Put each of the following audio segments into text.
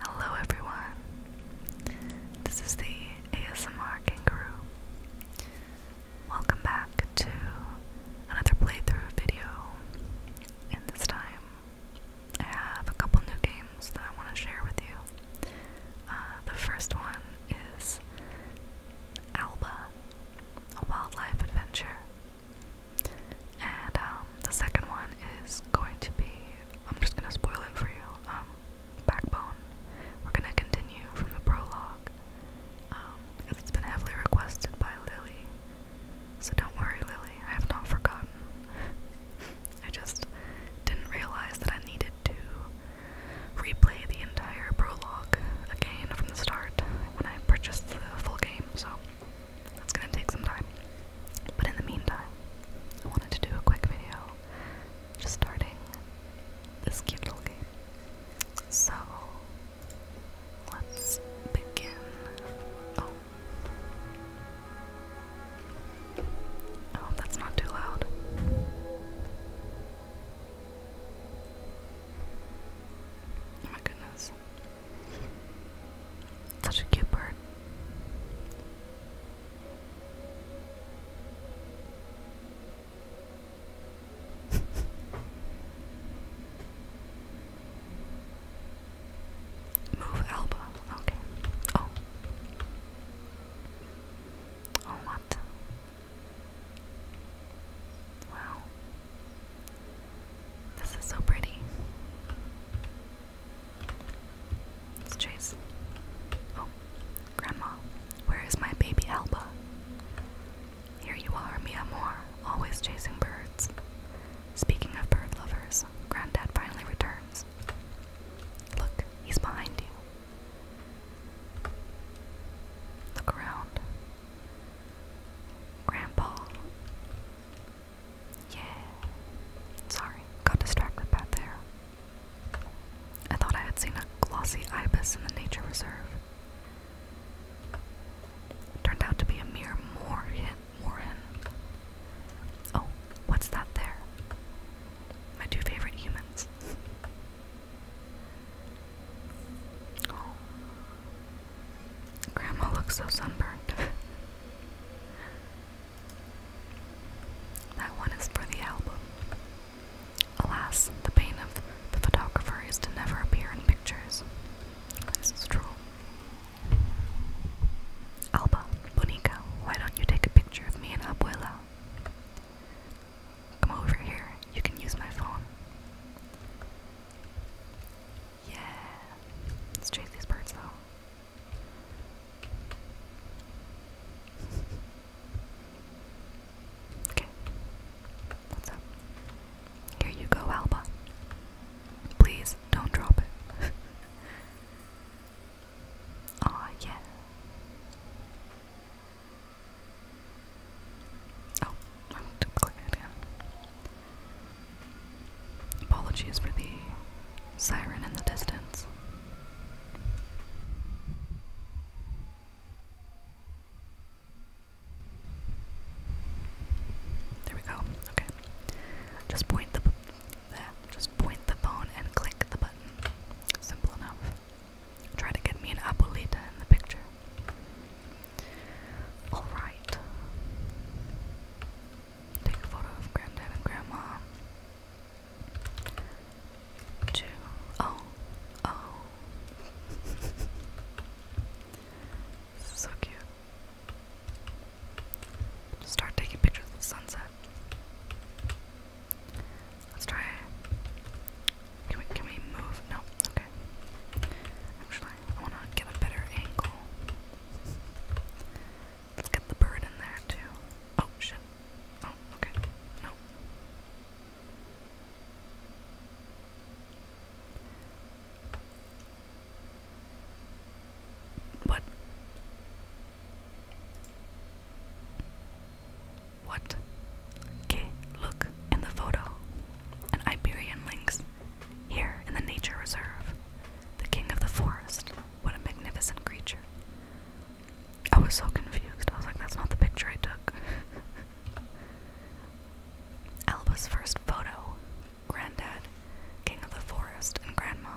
Hello everyone. This is the ASMR Kangaroo. Welcome back to another playthrough video. And this time I have a couple new games that I want to share with you. Uh, the first one is Alba, a wildlife adventure. And um, the second one is going to be I'm just gonna spoil it for you. Um, backbone. We're gonna continue from the prologue. Um, it's been heavily requested by Lily. So don't worry, Lily, I have not forgotten. I just didn't realize that I needed to replay the entire prologue again from the start when I purchased the full game, so that's gonna take some time. But in the meantime, I wanted to do a quick video just starting this cute little game. So, let's begin. Oh. oh that's not too loud. Oh my goodness. Such a cute bird. Move Alba. Okay. Oh. Oh, what? Wow. This is so pretty. Let's chase. Oh, Grandma, where is my baby Alba? Here you are, Mia Moore, always chasing birds. Speaking of bird lovers, Granddad finally returns. Look, he's behind you. Look around. Grandpa. Yeah. Sorry, got distracted back there. I thought I had seen a glossy ibis in the nature reserve. It turned out to be a mere moorhen. moorhen. Oh, what's that there? My two favorite humans. Oh. Grandma looks so sunburned. That one is for the album. Alas, the pain of the photographer is to never appear in pictures. This is true. Alba, Bonica, why don't you take a picture of me and Abuela? Come over here, you can use my phone. Yeah, let's chase these birds though. Okay. What's up? Here you go, Alba. Please don't drop it. Aw, oh, Oh, I'm too again. Apologies for the siren in the distance. There we go. Okay. Just point the there. Just point the phone and click the button. Simple enough. Try to get me an abuelita in the picture. All right. Take a photo of granddad and grandma. Two. Oh, oh. so cute. Start taking pictures of the sunset. Let's try Can we can we move? No, okay. Actually, I wanna get a better angle. Let's get the bird in there too. Oh shit. Oh, okay. No. What? What? Okay, look in the photo. An Iberian lynx. Here in the nature reserve. The king of the forest. What a magnificent creature. I was so confused. I was like, that's not the picture I took. Alba's first photo. Granddad, king of the forest, and grandma.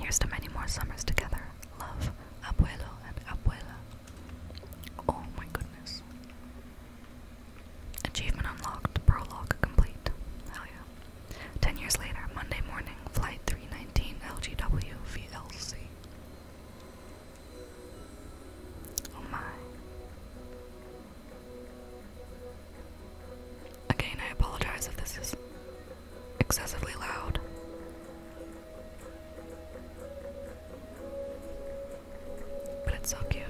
Here's to many more summers together. Love, abuelo and abuela. Oh my goodness. Achievement unlocked. Prologue complete. Hell yeah. Ten years later, Monday morning, Flight 319 LGW VLC. Oh my. Again, I apologize if this is excessively loud. But it's so cute.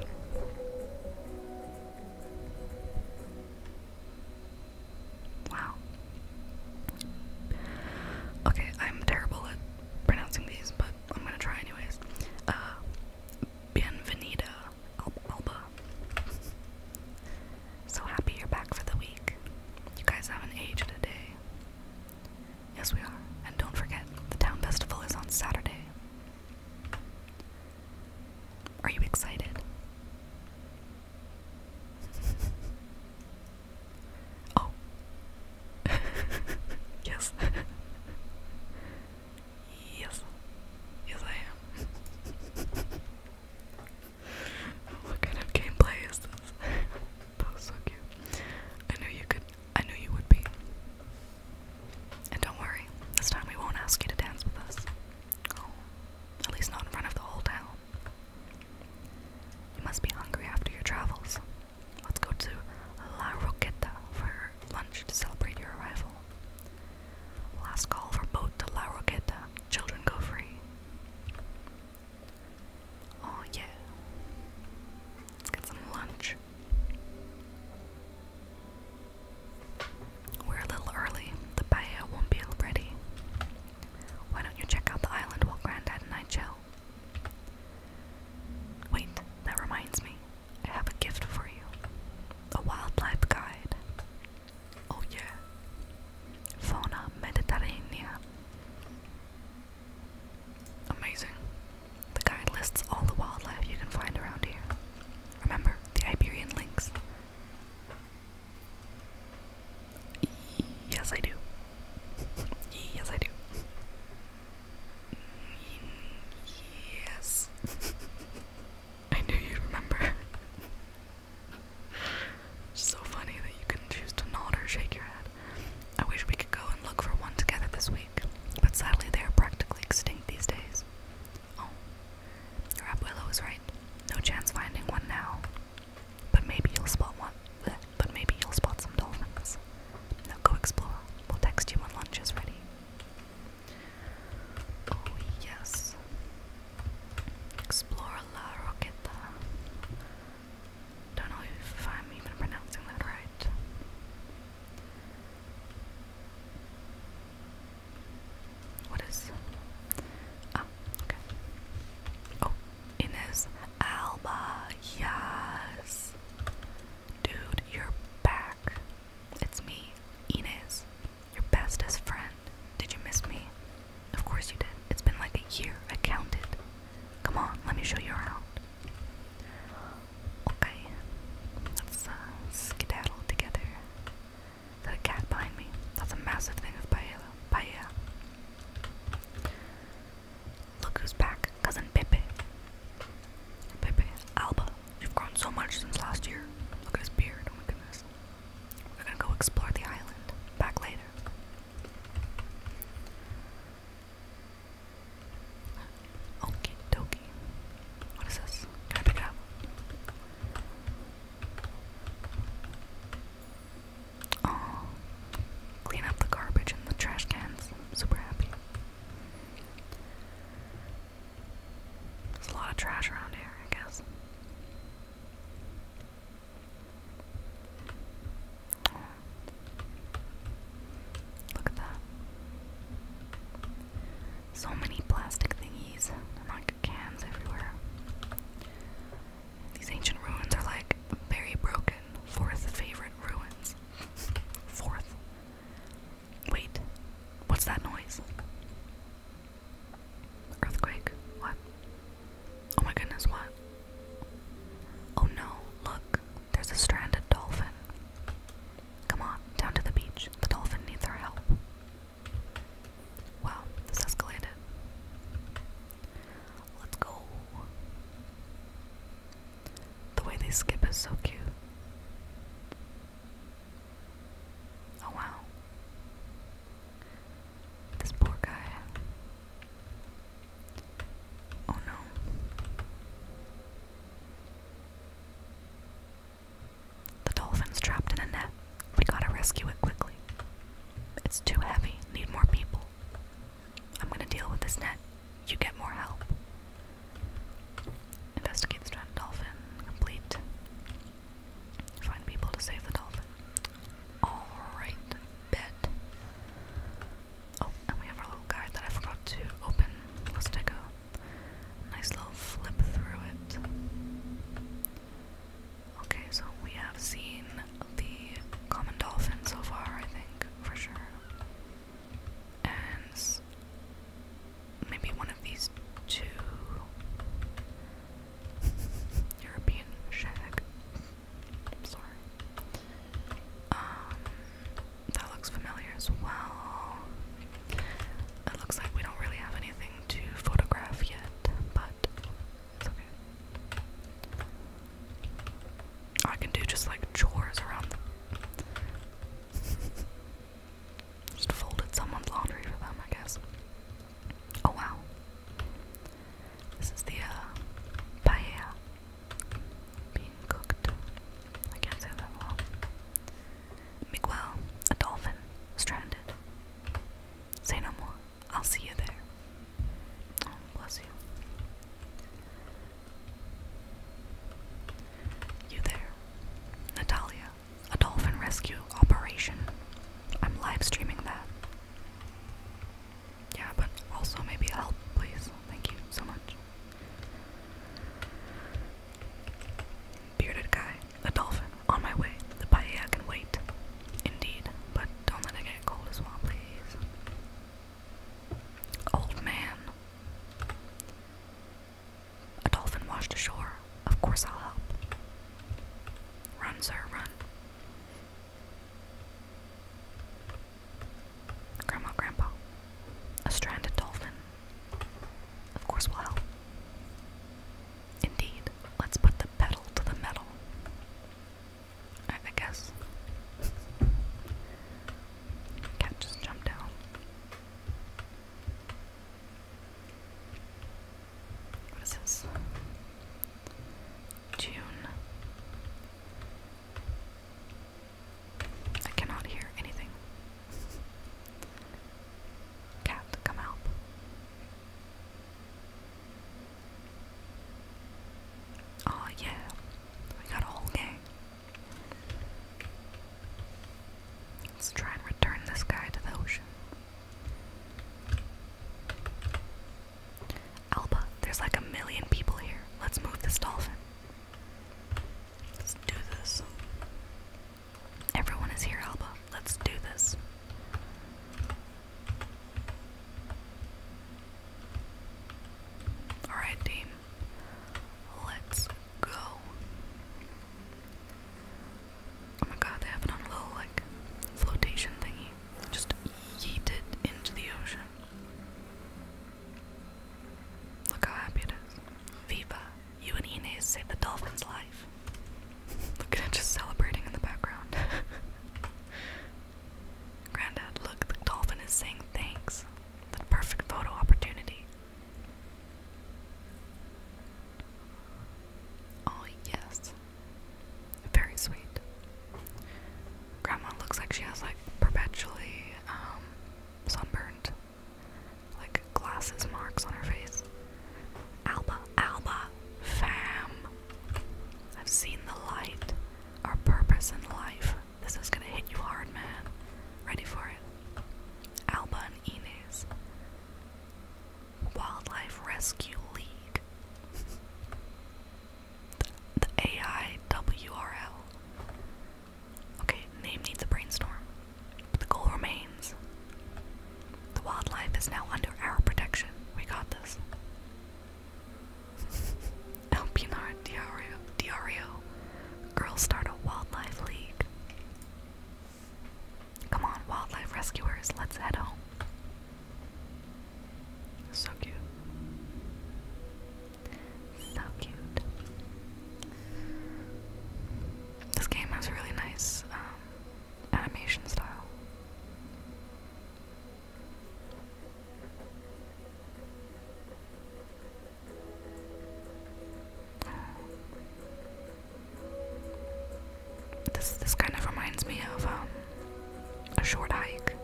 Wow. Okay, I'm terrible at pronouncing these, but I'm gonna try anyways. Uh, Alba. So happy you're back for the week. You guys haven't aged a day. Yes, we are. And don't forget, the town festival is on Saturday. Are you excited? oh. yes. yes. Yes, I am. what kind of gameplay is this? that was so cute. I knew you could. I knew you would be. And don't worry, this time we won't ask you to dance with us at least not in front of the whole town. You must be hungry after your travels. Let's go to La Roqueta for lunch to celebrate your arrival. Last call for boat to La Roqueta. Children go free. Oh, yeah. Let's get some lunch. We're a little early. The paella won't be ready. Why don't you check out the island while Granddad and I chill? Wait, that reminds me. I have a gift for you. A wildlife guide. Oh yeah. Fauna Mediterranea. Amazing. The guide lists all the wildlife you can find around here. Remember the Iberian Lynx? Yes, I do. yes, I do. Yes. I knew you remember. so funny that you can choose to nod or shake your head. I wish we could go and look for one together this week, but sadly they are practically extinct these days. Oh, Rap Willow was right. No chance finding one now. But maybe you'll spot one. But maybe you'll spot some dolphins. Now go explore. We'll text you when lunch is ready. Oh, yes. Explore Roqueta. Don't know if I'm even pronouncing that right. What is? Ah, okay. Oh, Ines Alba, yes. Dude, you're back. It's me, Ines, your bestest friend. Did you miss me? Of course you did. It's been like a year. I counted. Come on, let me show you around. Okay, let's uh, skedaddle together. Is cat behind me? That's a massive thing of paella. Paella. Look who's back, cousin Pepe. Pepe, Alba, you've grown so much since last year. Look at his beard, oh my goodness. We're gonna go explore the island. Back later. Okie dokie. What is this? Can I pick up? Oh, clean up the garbage and the trash cans. am super happy. There's a lot of trash around here, I guess. Look at that. So many plastic thingies like cans everywhere. These ancient ruins are like very broken. Fourth favorite ruins. Fourth. Wait, what's that noise? Earthquake. What? Oh my goodness, what? Oh no, look, there's a stranded dolphin. Come on, down to the beach. The dolphin needs our help. Wow, this escalated. Let's go. The way they skip is so cute. Oh wow. This poor guy. Oh no. The dolphin's trapped in a net. We gotta rescue it quickly. It's too heavy, need more people. I'm gonna deal with this net. You get more help. Investigate stranded dolphin. Complete. Find people to save the dolphin. Alright, bet. Oh, and we have our little guide that I forgot to open. Let's take a Nice little flip through it. Okay, so we have seen the common dolphin so far, I think, for sure. And maybe one of these two European shag. I'm sorry. Um, that looks familiar as well. It looks like we don't really have anything to photograph yet, but I can do just like chores around them. just folded someone's laundry for them, I guess. Oh wow. This is the uh, paella being cooked. I can't say that well. Miguel, a dolphin, stranded. Say no more. I'll see you there. Oh, bless you. You there. Natalia, a dolphin rescue operation. I'm live streaming that. Yeah, but also maybe help, please. Thank you so much. Bearded guy, a dolphin, on my way. The paella can wait. Indeed, but don't let it get cold as well, please. Old man. A dolphin washed ashore. Of course I'll help. Run, sir, run. Grandma, Grandpa. A stranded dolphin. Of course we'll help. Indeed, let's put the pedal to the metal. I, guess. Cat just jumped down. What is this? June. I cannot hear anything. Cat, come help. Oh yeah, we got a whole gang. Let's try and return this guy to the ocean. Alba, there's like a million people here. Let's move this dolphin. Let's do this. Everyone is here, Alba. Let's do this. Alright, team. Let's go. Oh my god, they have it on a little, like, flotation thingy. Just yeet into the ocean. Look how happy it is. Viva, you and Inez saved the dolphin's life. Look at it just celebrating in the background. Granddad, look, the dolphin is saying thanks. The perfect photo opportunity. Oh, yes. Very sweet. Grandma looks like she has like perpetually um, sunburned like glasses marks on her face. Alba, Alba, fam. I've seen the light, our purpose in life. This is gonna hit you hard, man. Ready for it. Alba and Ines. Wildlife Rescue League. the AIWRL. Okay, name needs a brainstorm. But the goal remains. The wildlife is now under our protection. We got this. El Diario, Diario. Girls start a wildlife league. Come on, wildlife rescuers, let's head home. So cute. So cute. This game has really nice um, animation style. This this kind of reminds me of um, a short hike.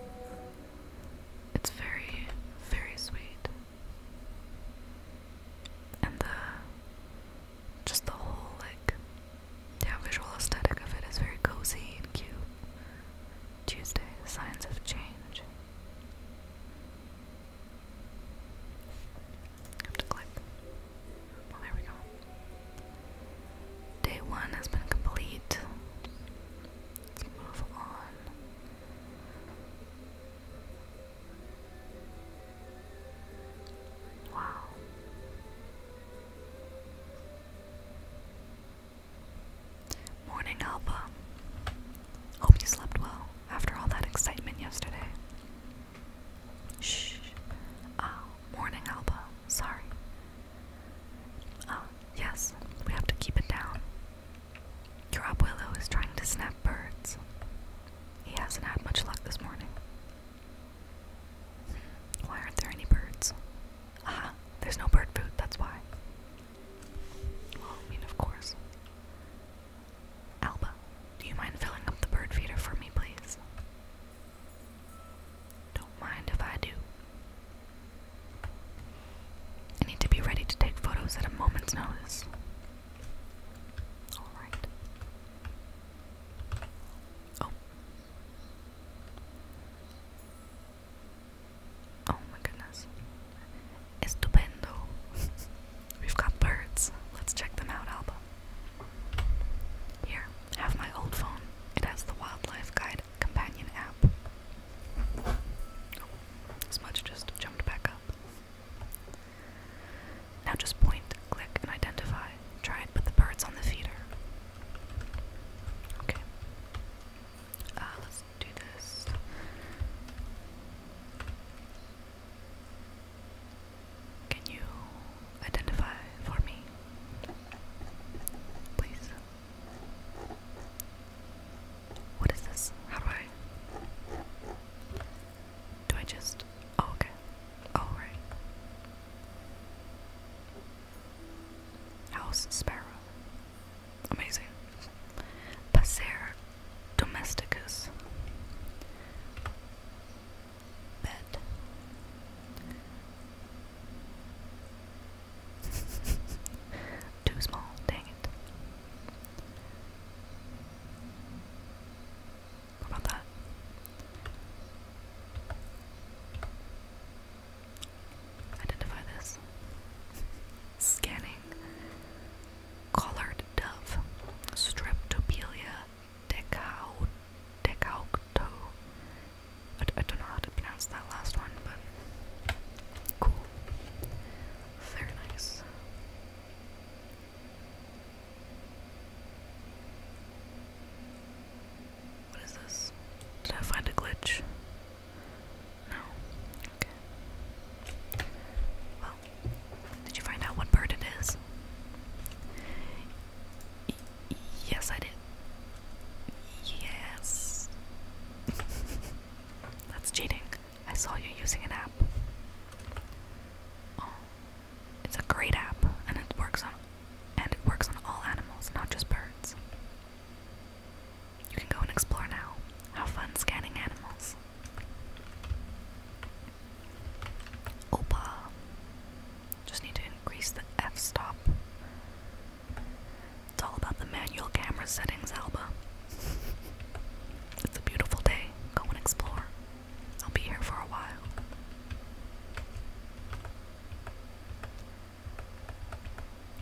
It's very, very sweet and the just the whole like yeah visual aesthetic of it is very cozy and cute. Tuesday, signs of change. Have to click. Well, there we go. Day one has been complete. Let's move on. Wow. Morning, Alba. Hope you slept well after all that excitement yesterday. Shh. Oh, morning, Alba. Sorry. Oh, yes, we have to keep it down. Your Willow is trying to snap birds. He hasn't had much luck this morning. Why aren't there any birds? Ah, there's no bird food, that's why. Well, I mean, of course. Alba, do you mind filling up the bird feeder for me, please? Don't mind if I do. I need to be ready to take photos at a moment's notice. Alright. Oh. Oh my goodness. Estupendo. We've got birds. Let's check them out, Alba. Here, have my old phone. It has the Wildlife Guide companion app. Oh, Smudge just jumped back up. Now just point, click, and identify. Try and put the birds on the feeder. Okay. Uh, let's do this. Can you identify for me? Please. What is this? How do I? Do I just? Oh, okay. Oh, right. House sparrow. Amazing. Passer domesticus. Bed. Too small, dang it. What about that? Identify this. Scanning. Collared dove. Streptopelia decau decaucto. I, I don't know how to pronounce that last one, but cool. Very nice. What is this? Did I find a glitch? No. Okay. Well, did you find out what bird it is? yes, I did. Yes. That's cheating. I saw you using an app. Oh, it's a great app, and it works on and it works on all animals, not just birds. You can go and explore now. How fun scanning animals. Opa. Just need to increase the f-stop. It's all about the manual camera settings, Alba. It's a beautiful day. Go and explore. I'll be here for a while.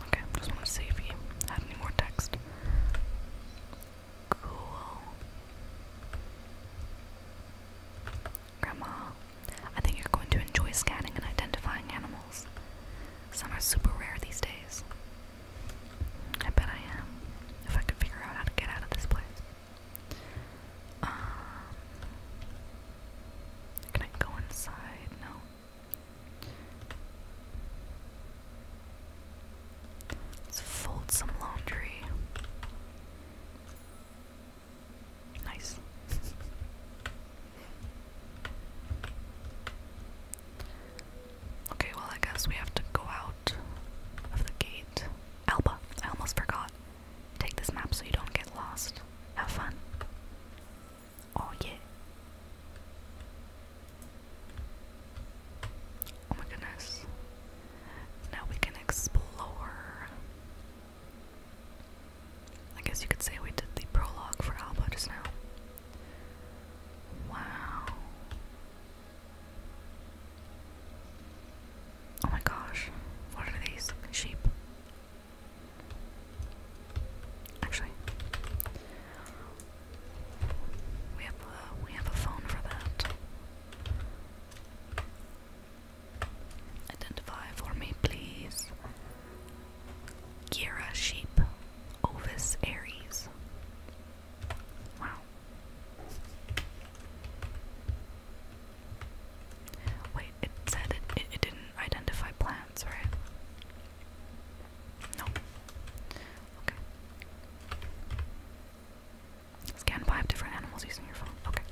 Okay, just want to see if you have any more text. Cool. Grandma, I think you're going to enjoy scanning and identifying animals. Some are super rare these days. I bet I am. If I could figure out how to get out of this place. Um, can I go inside? No. Let's fold some laundry. Nice. Okay, well, I guess we have to go out of the gate. Alba, I almost forgot. Take this map so you don't get lost. Have fun. Oh, yeah. Oh my goodness. Now we can explore. I guess you could say we did the prologue for Alba just now. Wow. Oh my gosh. What are these? Sheep. Actually, we have uh, we have a phone for that. Identify for me, please. Gira sheep, Ovis Aries. Wow. Wait, it said it, didn't identify plants, right? No. Okay. Scan five different animals using your phone. Okay.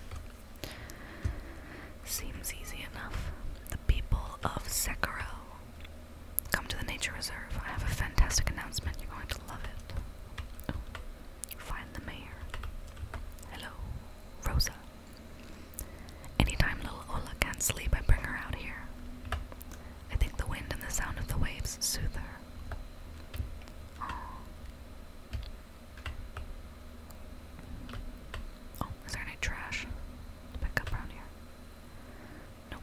Seems easy enough. The people of Sekiro Come to the nature reserve. I have a fantastic announcement. You're going to love it. Oh. find the mayor. Hello, Rosa. Anytime little Ola can't sleep, I bring her out here. I think the wind and the sound of the waves soothe her. Oh. Oh, is there any trash pick up around here? Nope.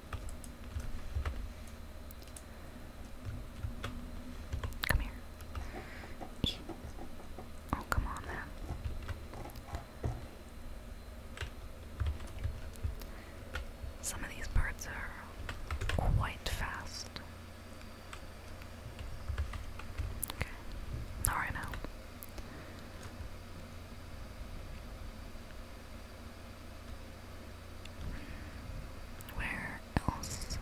Come here. Oh, come on, man. Some of these birds are quite fast. Okay, not now. Where else?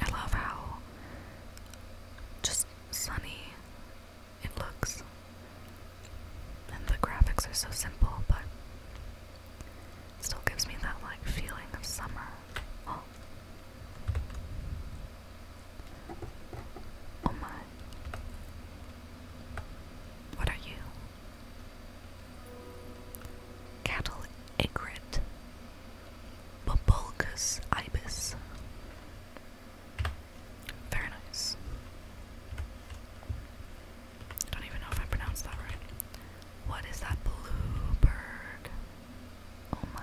I love how just sunny it looks. And the graphics are so simple, but it still gives me that like feeling of summer. Oh, Oh my. What are you? Cattle egret. Bobulcus ibis. Very nice. don't even know if I pronounced that right. What is that blue bird? Oh my.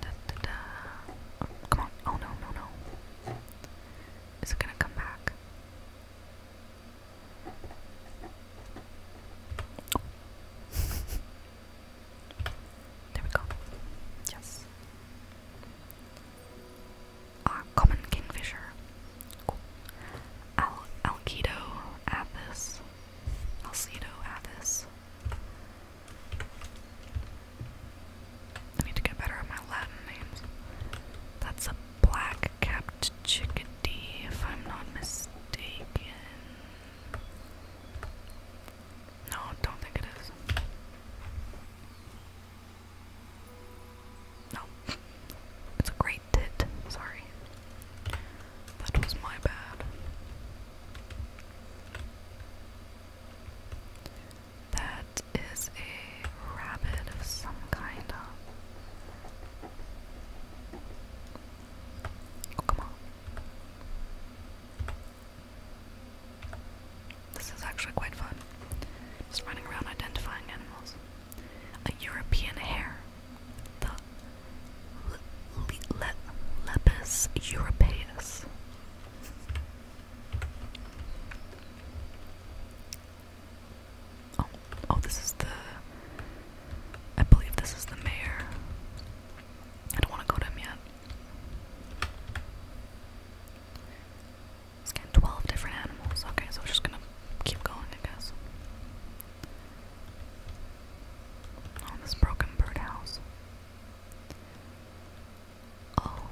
Da, da, da. Oh, come on. Oh no, no, no. Is it gonna come back? Oh. there we go. Yes. Uh, common kingfisher. Al Alkido, Athos, Alcedo Athos. I need to get better at my Latin names. That's a black capped chickadee, if I'm not mistaken. No, don't think it is. No. It's a great tit. Sorry. That was my bad. That is a rabbit of some kind. of. Oh, come on. This is actually quite fun. Just running around identifying animals a European hare, the Lepus europaeus. Oh, oh, this is the. I believe this is the mayor. I don't want to go to him yet. It's 12 different animals. Okay, so we're just gonna keep going, I guess on this broken birdhouse. Oh,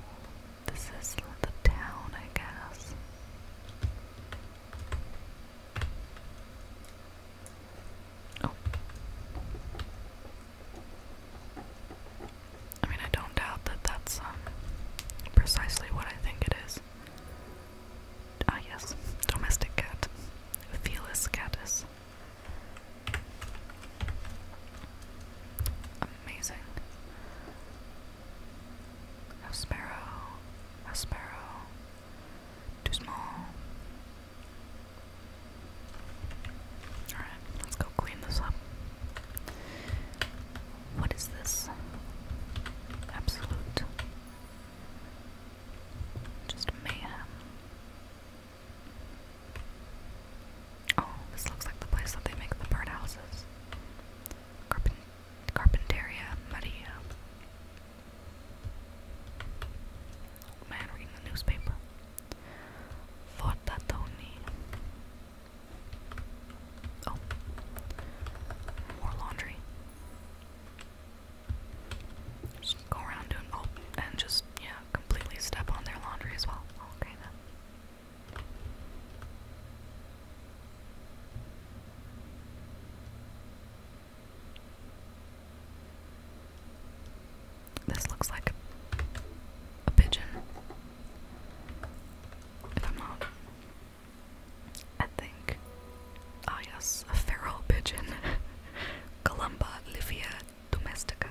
this is the town, I guess. Oh. I mean, I don't doubt that that's um, precisely what I think it is. Ah yes, domestic cat. Felis catus. Amazing. A sparrow. A sparrow. Too small. Alright, let's go clean this up. What is this? Absolute just mayhem. Oh, this looks like the place that they make the bird houses. Carpentaria Maria. man, reading the newspaper. Fortatoni. Oh. More laundry go around doing oh, and just yeah, completely step on their laundry as well. Okay then. This looks like a pigeon. If I'm not I think. Ah, yes, a feral pigeon. Columba livia domestica.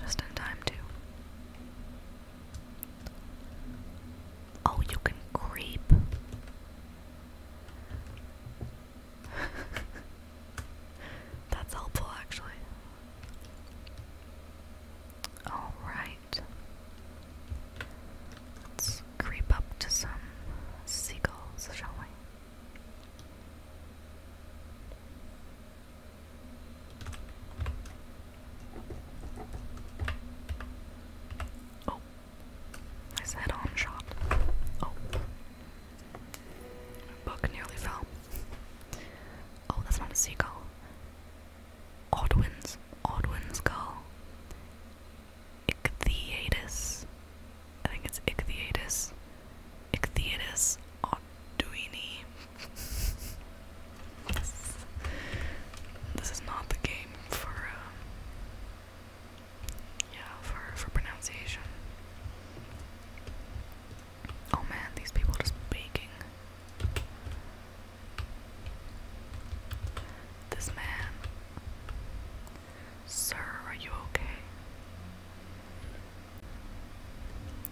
Just in time, too. Oh, you can creep. That's helpful, actually. Alright. Let's creep up to some seagulls, shall we? Oh, nice head-on shot. Oh, book nearly fell. Oh, that's not a seagull. Odwin's, Odwin's gull, Ichthyodus, I think it's Ichthyodus, Ichthyodus Odwini. this, is not the game for, uh, yeah, for, for pronunciation. Oh man, these people just baking. This man. Sir, are you okay?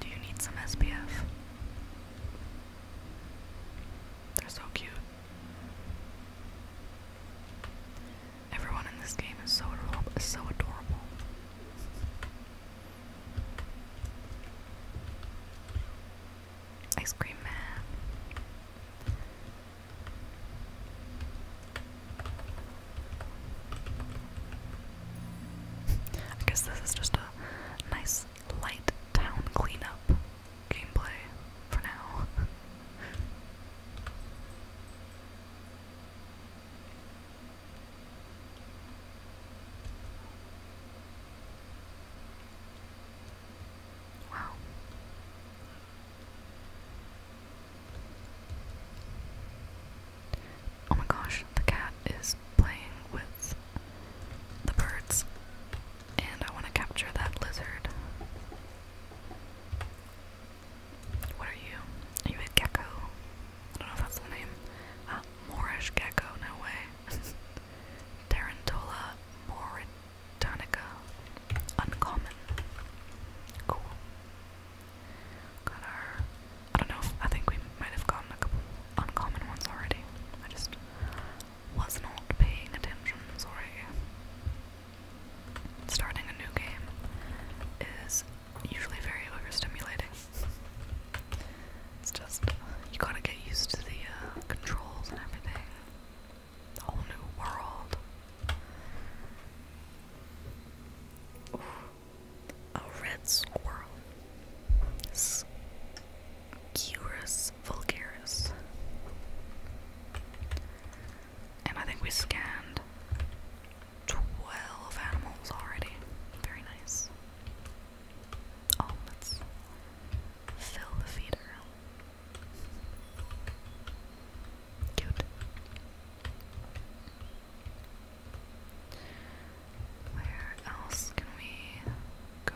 Do you need some SPF? They're so cute. Everyone in this game is so adorable. Ice cream man. I guess this is just a nice light town cleanup gameplay for now. Wow. Oh my gosh, the cat is playing with the birds, and I want to capture that lizard. What are you? Are you a gecko? I don't know if that's the name. Uh, Moorish gecko, no way. Tarantola Mauritanica. Uncommon. Cool. Got our. I don't know, I think we might have gotten a couple uncommon ones already. I just was not paying attention, sorry. Starting a new game is usually very overstimulating. It's just, you gotta get used to the uh, controls and everything. whole new world. A red squirrel. Curus vulgaris. And I think we scanned 12 animals already. Very nice. Oh, let's fill the feeder. Cute. Where else can we go?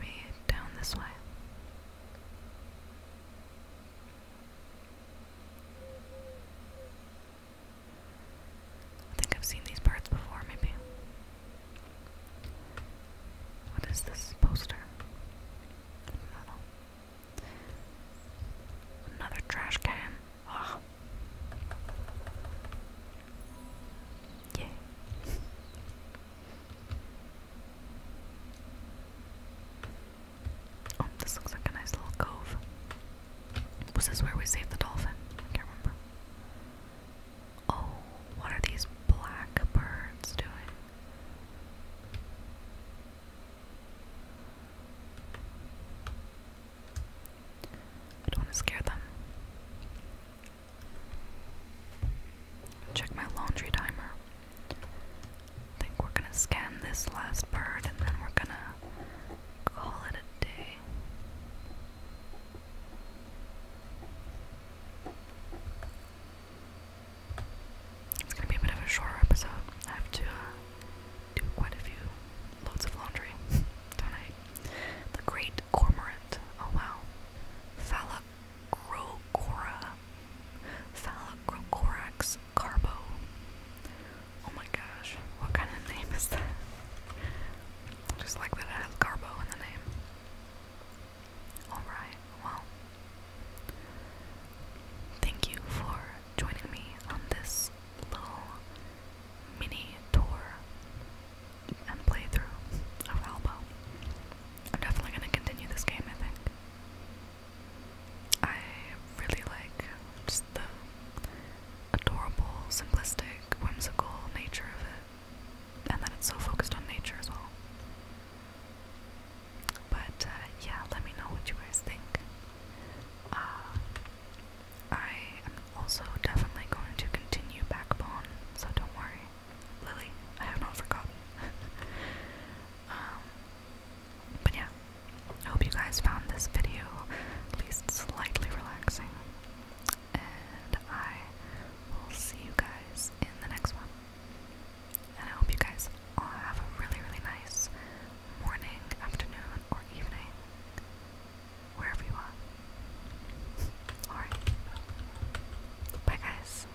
Maybe down this way. I think I've seen these parts before, maybe. What is this poster? Another trash can. Ugh. Yay. Oh, this looks like a nice little cove. Was this where we saved the dolphin? I can't remember. Oh, what are these black birds doing? I don't want to scare them. Check my laundry timer. think we're gonna scan this last bird and then we're gonna call it a day. It's gonna be a bit of a shorter episode. I have to uh, do quite a few loads of laundry tonight. The Great Cormorant. Oh wow. Phallocrocora. Phallocrocorax carbo. Oh my gosh, what kind of name is that? Just like that it has Garbo in the name. Alright, well. Thank you for joining me on this little mini tour and playthrough of Albo. I'm definitely going to continue this game, I think. I really like just the adorable, simplistic, whimsical nature of it, and that it's so focused on nature as well. But uh, yeah, let me know what you guys think. Uh, I am also definitely going to continue Backbone, so don't worry, Lily. I have not forgotten. Um, but yeah, I hope you guys found this video at least slightly relaxing. And I will see you guys in the next one. And I hope you guys all have a really, really nice morning, afternoon, or evening, wherever you are. Alright. Bye, guys.